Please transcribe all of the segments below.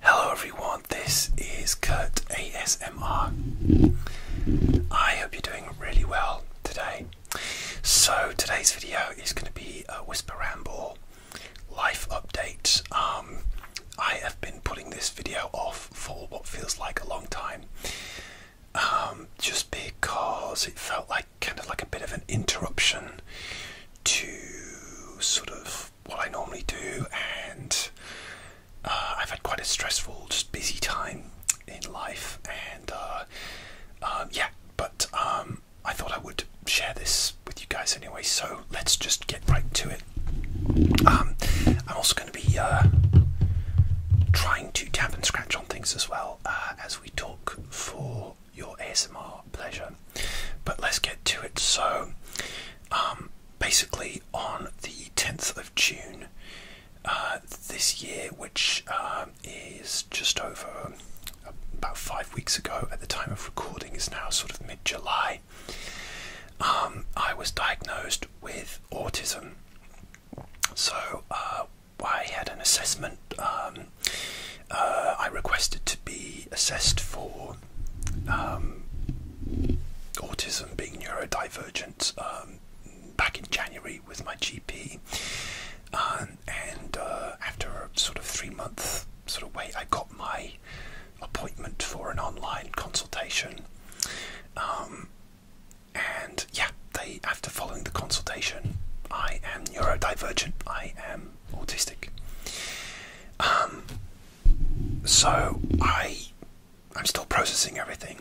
Hello everyone, this is Kurt ASMR. I hope you're doing really well today. So today's video is going to be a Whisper Ramble life update. Um, I have been putting this video off for what feels like a long time. Um, just because it felt like kind of like a bit of an interruption to sort of what I normally do, and uh, I've had quite a stressful, just busy time in life, and uh, um, yeah, but um, I thought I would share this with you guys anyway, so let's just get right to it. Um, I'm also going to be uh, trying to tap and scratch on things as well as we talk for your ASMR Oh, pleasure. But let's get to it. So, um, basically, on the 10th of June uh, this year, which um, is just over about five weeks ago at the time of recording, is now sort of mid July, um, I was diagnosed with autism. So, uh, I had an assessment. Uh, I requested to be assessed for um, autism being neurodivergent um, back in January with my GP, um, and uh, after a sort of three month sort of wait, I got my appointment for an online consultation. and yeah, they after following the consultation, I am neurodivergent. I am autistic so I, I'm still processing everything.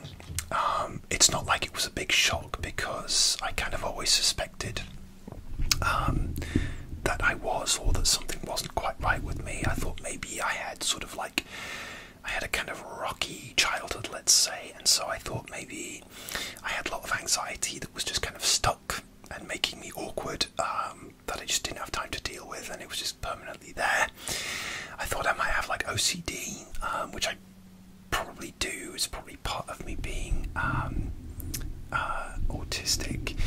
Um, it's not like it was a big shock because I kind of always suspected um, that I was, or that something wasn't quite right with me. I thought maybe I had sort of like, I had a kind of rocky childhood, let's say, and so I thought maybe I had a lot of anxiety that was just kind of stuck and making me awkward. Um, that I just didn't have time to deal with, and it was just permanently there. I thought I might have like OCD, um, which I probably do. It's probably part of me being um, uh, autistic.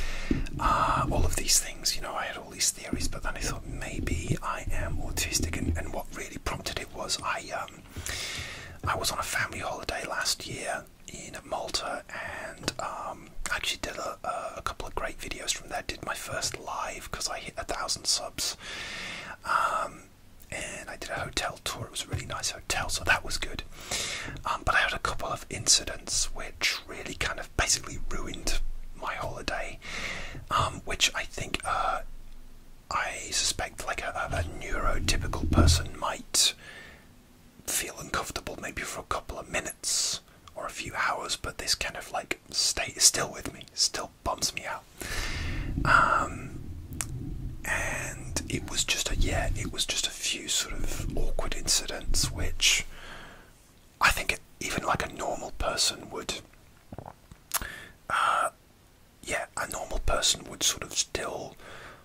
Uh, all of these things, you know, I had all these theories, but then I thought maybe I am autistic, and, and what really prompted it was I um, I was on a family holiday last year in Malta, and um, actually did a, couple of great videos from there. Did my first live because I hit a thousand subs, um, and I did a hotel tour. It was a really nice hotel, so that was good. Um, but I had a couple of incidents which really kind of basically ruined my holiday, um, which I think. Uh, I suspect, like a neurotypical person might feel uncomfortable maybe for a couple of minutes or a few hours, but this kind of like state is still with me, still bumps me out. Um, and it was just a yeah, it was just a few sort of awkward incidents which I think even like a normal person would. Uh, yeah, a normal person would sort of still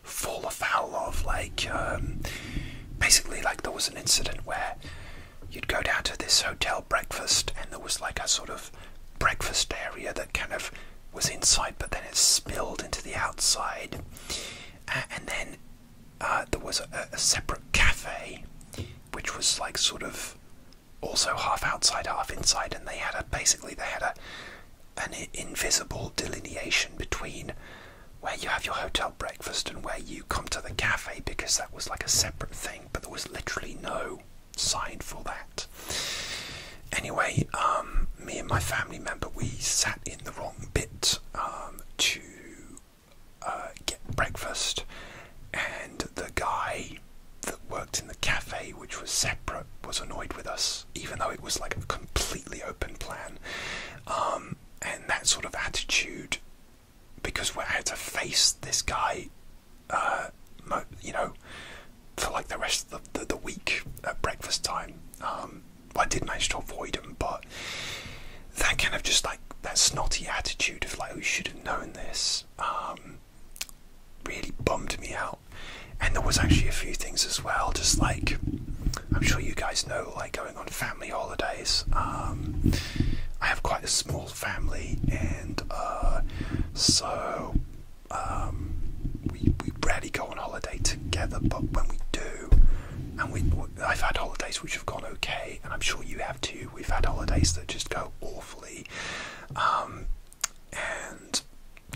fall afoul of. Like, um, basically, like there was an incident where you'd go down to this hotel breakfast, and there was like a sort of breakfast area that kind of was inside, but then it spilled into the outside, and then uh, there was a, a separate cafe, which was like sort of also half outside, half inside, and they had a basically they had a an invisible delineation between where you have your hotel breakfast and where you come to the cafe because that was like a separate thing, but there was literally no sign for that. Anyway, um, me and my family member, we sat in the wrong bit um, to uh, get breakfast, and the guy that worked in the cafe, which was separate, was annoyed with us, even though it was like a completely open plan. Um, and that sort of attitude because we had to face this guy uh, you know for like the rest of the, the, week at breakfast time um, I did manage to avoid him but that kind of just like that snotty attitude of like we oh, should have known this um, really bummed me out and there was actually a few things as well just like I'm sure you guys know, like going on family holidays. Um, I have quite a small family, and uh, so um, we we rarely go on holiday together. But when we do, and we I've had holidays which have gone okay, and I'm sure you have too. We've had holidays that just go awfully, um, and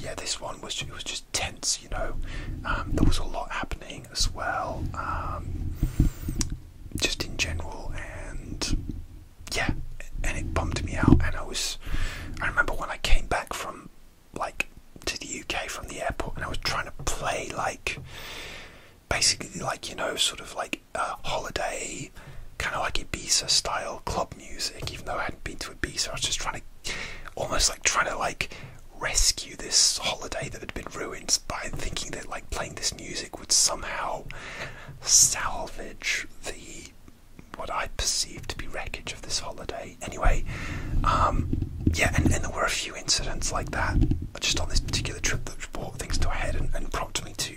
yeah, this one was it was just tense, you know. Um, there was a lot happening as well, um, just in general, and yeah, and it bummed me out. And I was, I remember when I came back from like to the UK from the airport, and I was trying to play like basically like you know sort of like a holiday kind of like Ibiza style club music, even though I hadn't been to Ibiza. I was just trying to almost like trying to like rescue this holiday that had been ruined by thinking that like playing this music would somehow salvage the what I perceived to be wreckage of this holiday. Anyway, um, yeah, and, and there were a few incidents like that just on this particular trip that brought things to a head and, prompted me to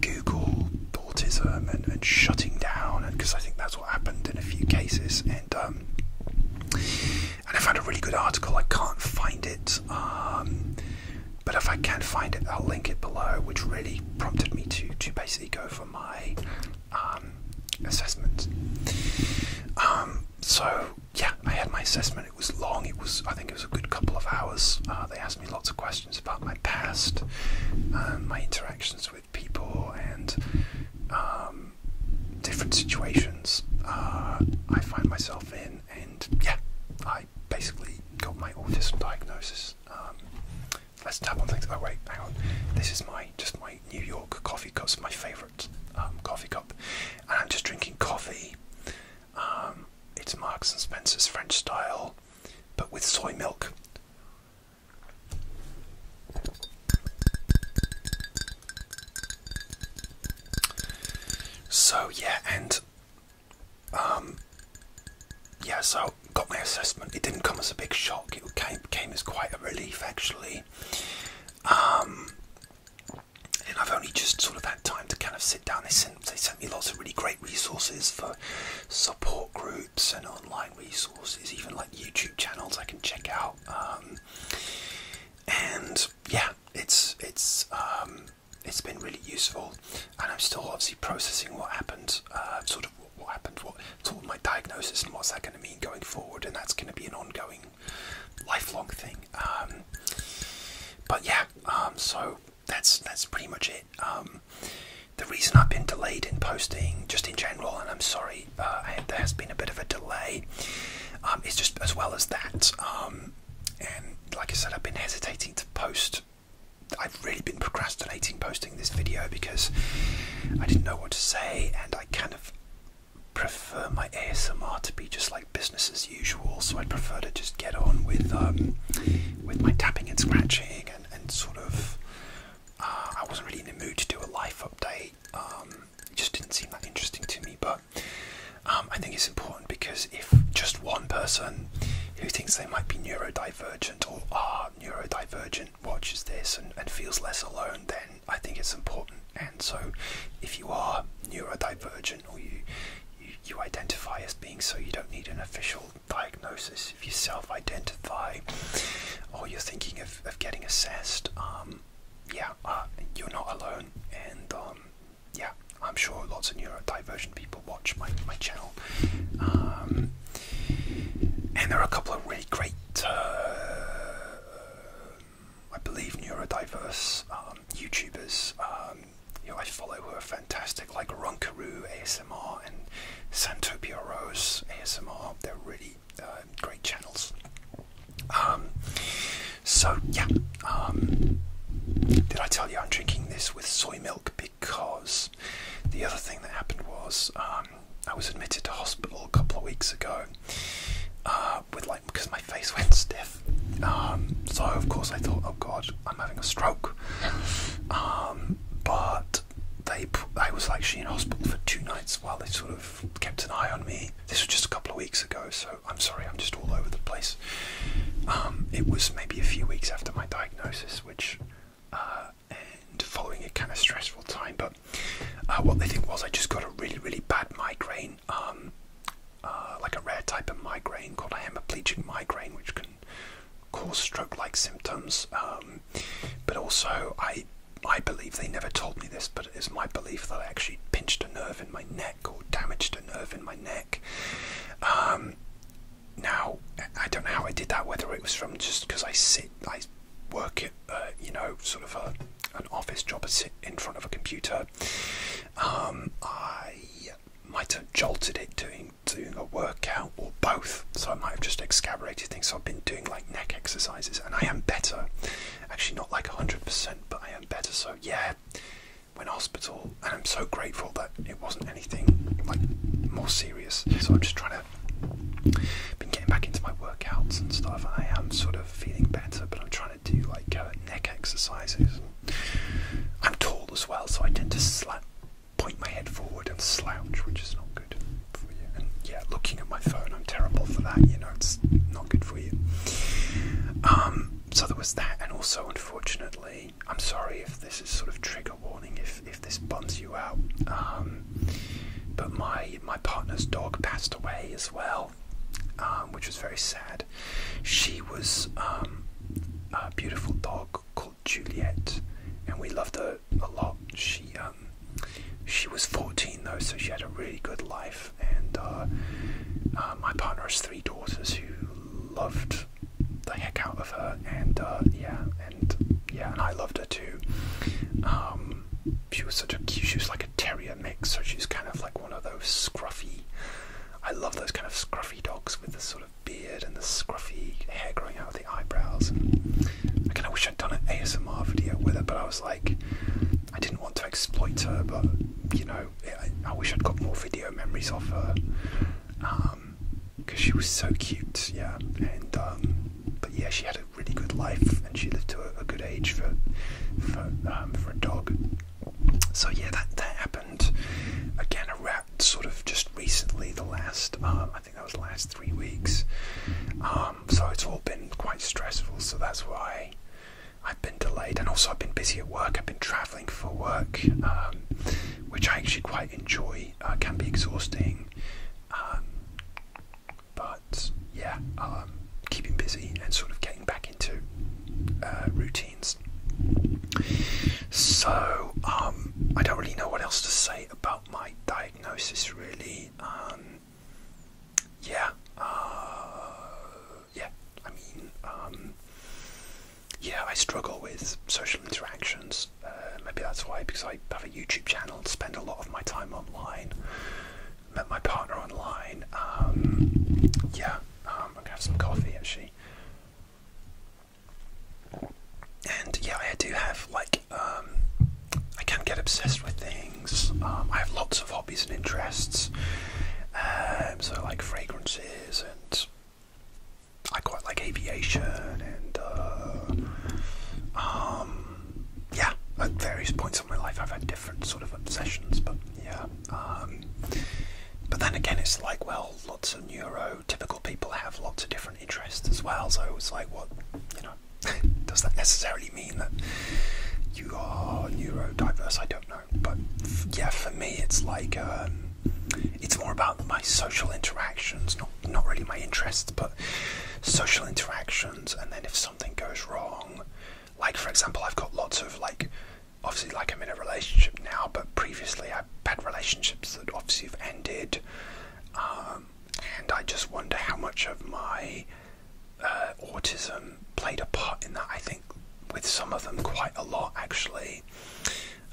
Google autism and shutting down, because I think that's happened in a few cases, and um, and I found a really good article. I can't find it, um, but if I can find it, I'll link it below, which really prompted me to to basically go for my um, assessment. Um, so yeah, I had my assessment. It was long. It was I think it was a good couple of hours. Uh, they asked me lots of questions about my past, uh, my interactions with people and um, different situations uh, I find myself in, and yeah, I basically got my autism diagnosis. Um, let's tap on things. Oh wait, hang on. This is my just my New York coffee cup. my favourite um, coffee cup, and I'm just drinking coffee. Um, it's Marks and Spencer's French style, but with soy milk. So yeah, and um, yeah, so got my assessment. It didn't come as a big shock. It came came as quite a relief actually. Um, and I've only just sort of had time to kind of sit down. They sent they sent me lots of really great resources for support groups and online resources, even like YouTube channels I can check out. Um, and yeah, it's it's um, it's been really useful, and I'm still obviously processing what happened, uh, sort of what, happened, what sort of my diagnosis, and what's that going to mean going forward, and that's going to be an ongoing, lifelong thing. Um, but yeah, so that's that's pretty much it. the reason I've been delayed in posting, just in general, and I'm sorry, uh, there has been a bit of a delay. Um, it's just as well as that. Um, and like I said, I've been hesitating to post. I've really been procrastinating posting this video because I didn't know what to say, and I kind of prefer my ASMR to be just like business as usual. So I'd prefer to just get on with um, with my tapping and scratching and sort of uh, I wasn't really in the mood to do a life update. Um, it just didn't seem that interesting to me, but um, I think it's important because if just one person who thinks they might be neurodivergent or are neurodivergent watches this and, feels less alone, then I think it's important. And so, if you are neurodivergent or you, you identify as being so, you don't need an official diagnosis. If you self-identify or you're thinking of of, getting assessed. Um, yeah, uh, you're not alone, and um, yeah, I'm sure lots of neurodivergent people watch my my channel. Um, and there are a couple of really great, uh, I believe, neurodiverse YouTubers. you know, I follow who are fantastic, like Runkaroo ASMR and Santopieros ASMR. They're really uh, great channels. Um, so yeah, um, did I tell you I'm drinking this with soy milk because the other thing that happened was um, I was admitted to hospital a couple of weeks ago uh, with like because my face went stiff. so of course I thought, oh god, I'm having a stroke. but they I was actually in hospital for two nights while they sort of kept an eye on me. This was just a couple of weeks ago, so I'm sorry, I'm just all over the place. Um, it was maybe a few weeks after my diagnosis, which uh, and following a kind of stressful time, but uh, what they think was I just got a really really bad migraine. Um, uh, like a rare type of migraine called a hemiplegic migraine, which can cause stroke-like symptoms. Um, but also, I I believe they never told me this, but it is my belief that I actually pinched a nerve in my neck or damaged a nerve in my neck. Um, now, I don't know how I did that. Whether it was from just because I sit, I work at uh, you know sort of a an office job I sit in front of a computer. Um, I might have jolted it doing doing a workout or both. So I might have just excavated things. So I've been doing like neck exercises, and I am better. Actually, not like 100%, but I am better. So yeah, went hospital, and I'm so grateful that it wasn't anything like more serious. So I'm just trying to been getting back into my workouts and stuff. I am sort of feeling better, but I'm trying to do like uh, neck exercises. I'm tall as well, so I tend to slap point my head forward and slouch, which is not good for you. And yeah, looking at my phone, I'm terrible for that. You know, it's not good for you. Um, so there was that, and also, unfortunately, I'm sorry if this is sort of trigger warning if if this bonds you out. Um, but my my partner's dog passed away as well, um, which was very sad. She was a beautiful dog Juliet, and we loved her a lot. She um, she was 14 though, so she had a really good life. And uh, uh, my partner has three daughters who loved the heck out of her, and uh, yeah, and yeah, and I loved her too. Um, she was such a cute. She was like a terrier mix, so she's kind of like one of those scruffy. I love those kind of scruffy dogs with the sort of beard and the scruffy hair growing out of the eyebrows. I kind of wish I'd done an ASMR video with her, but I was like, I didn't want to exploit her, but you know, I, wish I'd got more video memories of her because um, she was so cute, yeah. And um, but yeah, she had a really good life and she lived to a, good age for for um, for a dog. So yeah, that that happened again. A rat sort of just recently. The last um, I think that was the last three weeks. Um, so it's all been quite stressful. So that's why I've been delayed, and also I've been busy at work. I've been traveling for work, um, which I actually quite enjoy. Uh, can be exhausting, um, but yeah, keeping busy and sort of getting back into uh, routines. So I don't really know what else to say about my diagnosis really. Um, yeah, uh, yeah. I mean, um, yeah, I struggle with social interactions. Uh, maybe that's why, because I have a YouTube channel, spend a lot of my time online, met my partner online. Um, yeah, I'm gonna have some coffee actually and yeah, I do have like um, I can get obsessed with things. Um, I have lots of hobbies and interests. Um, so like fragrances, and I quite like aviation, and uh, yeah, at various points in my life, I've had different sort of obsessions. But yeah, but then again, it's like well, lots of neuro typical people have lots of different interests as well. So it's like, what, you know, does that necessarily mean that you are neurodiverse? I don't know. But yeah, for me, it's like, um, it's more about my social interactions, not, not really my interests, but social interactions. And then if something goes wrong, like for example, I've got lots of like, obviously, like I'm in a relationship now, but previously I bad relationships that obviously have ended. Um, and I just wonder how much of my uh, autism played a part in that. I think with some of them, quite a lot actually.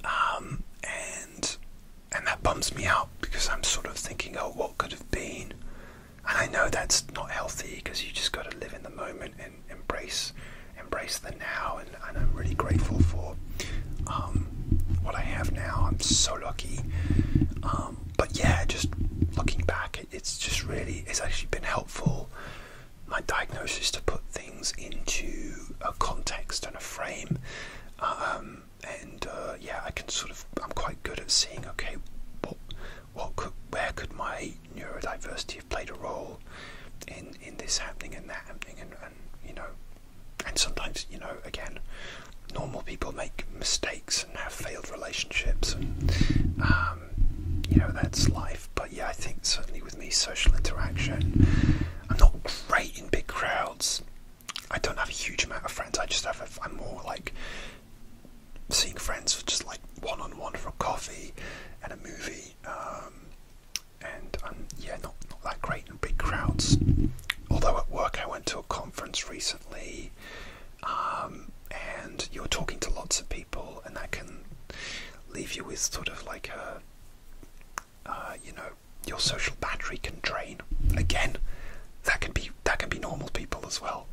Um, and and that bums me out because I'm sort of thinking, oh, what could have been? And I know that's not healthy because you just got to live in the moment and embrace embrace the now and and I'm really grateful for um, what I have now. I'm so lucky. Um, but yeah, just looking back, it's just really, it's actually been helpful. My diagnosis to put things into a context and a frame. Um, and uh, yeah, I can sort of, I'm quite good at seeing, okay, what, what could, where could my neurodiversity have played a role in, in this happening and that happening and you know, and sometimes, you know, again, normal people make mistakes and have failed relationships, and um, you know, that's life. But yeah, I think certainly with me, social interaction, I'm not great in big crowds. I don't have a huge amount of friends. I just have, a, I'm more like seeing friends just like one on one for coffee and a movie. Um, and um, yeah, not not that great in big crowds. Although at work I went to a conference recently, um, and you're talking to lots of people, and that can leave you with sort of like a, uh, you know, your social battery can drain. Again, that can be that can be normal people as well.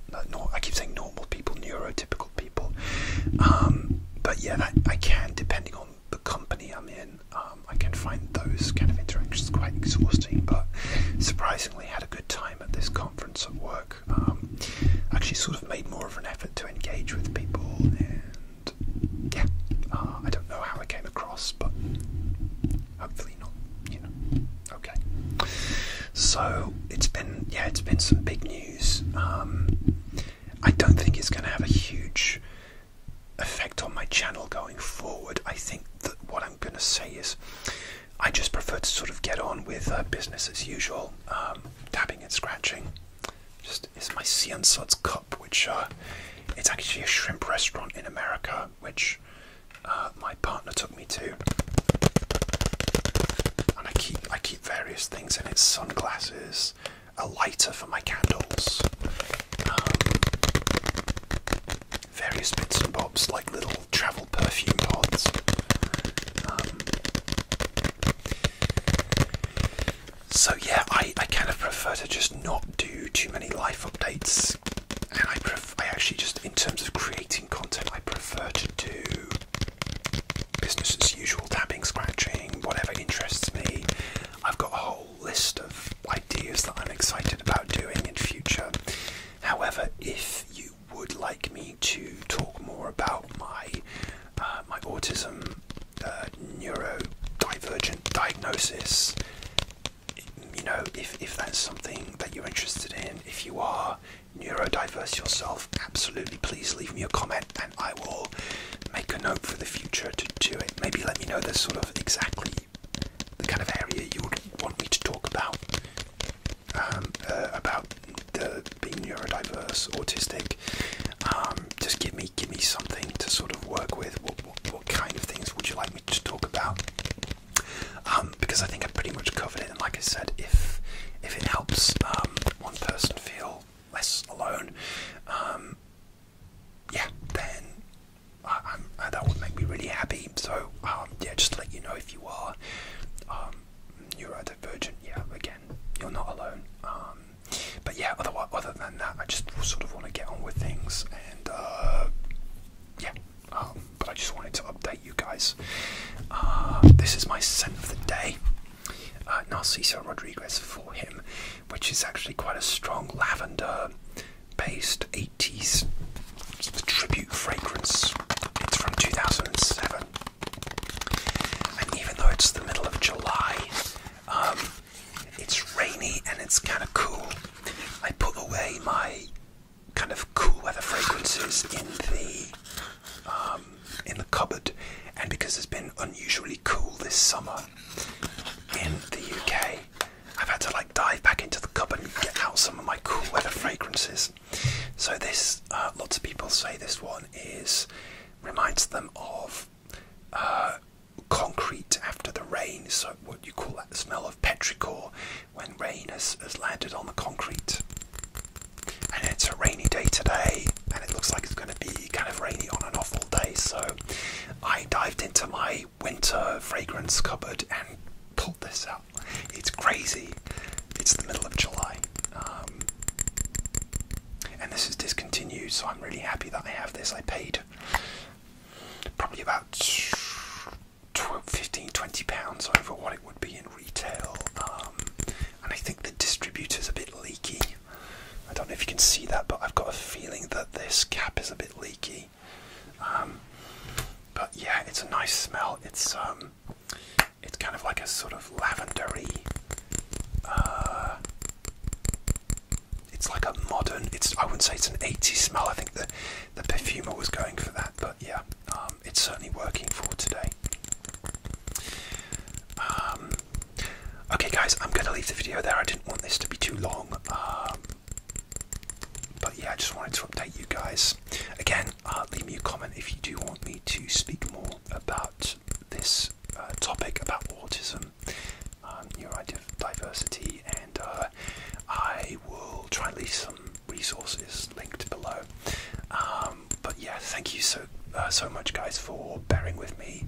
I keep saying normal people, neurotypical people, um, but yeah, I can depending on the company I'm in. Um, I can find those kind of interactions quite exhausting, but surprisingly, had a good time at this conference at work. Um, actually, sort of made more of an effort to engage with people, and yeah, uh, I don't know how I came across, but hopefully not. You know, okay. So it's been yeah, it's been some big news. Um, I don't think it's going to have a huge effect on my channel going forward. I think that what I'm going to say is I just prefer to sort of get on with uh, business as usual, tapping um, and scratching. Just is my Sea and cup, which uh, it's actually a shrimp restaurant in America, which uh, my partner took me to. And I keep I keep various things in it: sunglasses, a lighter for my candles. Um, various bits and bobs like little travel perfume pods. Um, so yeah, I, I kind of prefer to just not do too many life updates, and I I actually just in terms of creating content, I prefer to do business as usual, tapping, scratching, whatever interests me, I've got a whole list of ideas that I'm excited about doing in future. However, if you would like me to talk more about my uh, my autism uh, neurodivergent diagnosis, you know, if if that's something that you're interested in, if you are neurodiverse yourself, absolutely please leave me a comment I will make a note for the future to do it. Maybe let me know the sort of exactly the kind of area you would want me to talk about. Um, uh, about being neurodiverse, autistic. Um, just give me give me something to sort of work with. What, kind of things would you like me to talk about? Um, because I think I have pretty much covered it. And like I said, if if it helps one person feel less alone, um, yeah, then uh, that would make me really happy. So um, yeah, just to let you know if you are um, neurodivergent, yeah, again, you're not alone. Um, but yeah, otherwise, other than that, I just sort of want to get on with things, and uh, yeah. but I just wanted to update you guys. Uh, this is my scent of the day. Uh, Narciso Rodriguez for him, which is actually quite a strong lavender based 80s tribute fragrance. It's from 2007. And even though it's the middle of July, um, it's rainy and it's kind of cool. I put away my kind of cool weather fragrances in the um, in the cupboard, and because it's been unusually cool this summer in the UK, I've had to like dive back into the cupboard and get out some of my cool weather fragrances. So this, uh, lots of people say this one is reminds them of uh, concrete after the rain. So what you call that the smell of petrichor when rain has, has landed on the concrete and it's a rainy day today and it looks like it's going to be kind of rainy on and off all day so i dived into my winter fragrance cupboard and pulled this out it's crazy it's the middle of july um, and this is discontinued so i'm really happy that i have this i paid probably about 12, 15 20 pounds over what it would be in retail um, and I think the distributor's a bit leaky. I don't know if you can see that, but I've got a feeling that this cap is a bit leaky. Um, but yeah, it's a nice smell. It's um, it's kind of like a sort of lavendery. Uh, it's like a modern. It's I wouldn't say it's an 80s smell. I think the the perfumer was going for that, but yeah, um, it's certainly working for today. Um, okay, guys, I'm going to leave the video there. I didn't want this to be too long. Um, but yeah, I just wanted to update you guys. Again, uh, leave me a comment if you do want me to speak more about this uh, topic about autism, um, neurodiversity, and uh, I will try and leave some resources linked below. Um, um, but yeah, thank you so uh, so much, guys, for bearing with me.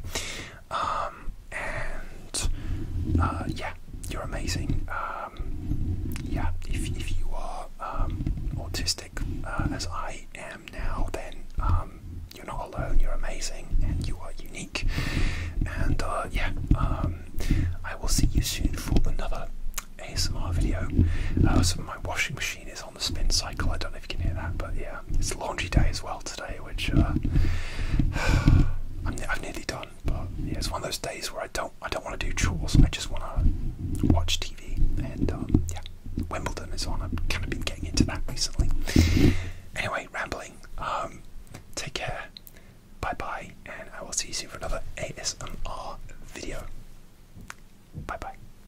Um, and uh, yeah, you're amazing. Um, yeah, if if you are autistic uh, as I am now, then you're not alone. You're amazing, and you are unique. And yeah, I will see you soon for another ASMR video. so my washing machine is on the spin cycle. I don't know if you can hear that, but yeah, it's laundry day as well today, which uh, i have nearly done. But yeah, it's one of those days where I don't I don't want to do chores. I just want to watch TV, and um, yeah, Wimbledon is on. I've kind of been getting into that recently. Anyway, rambling. Um, take care. Bye bye, and I will see you soon for another ASMR video. Bye bye.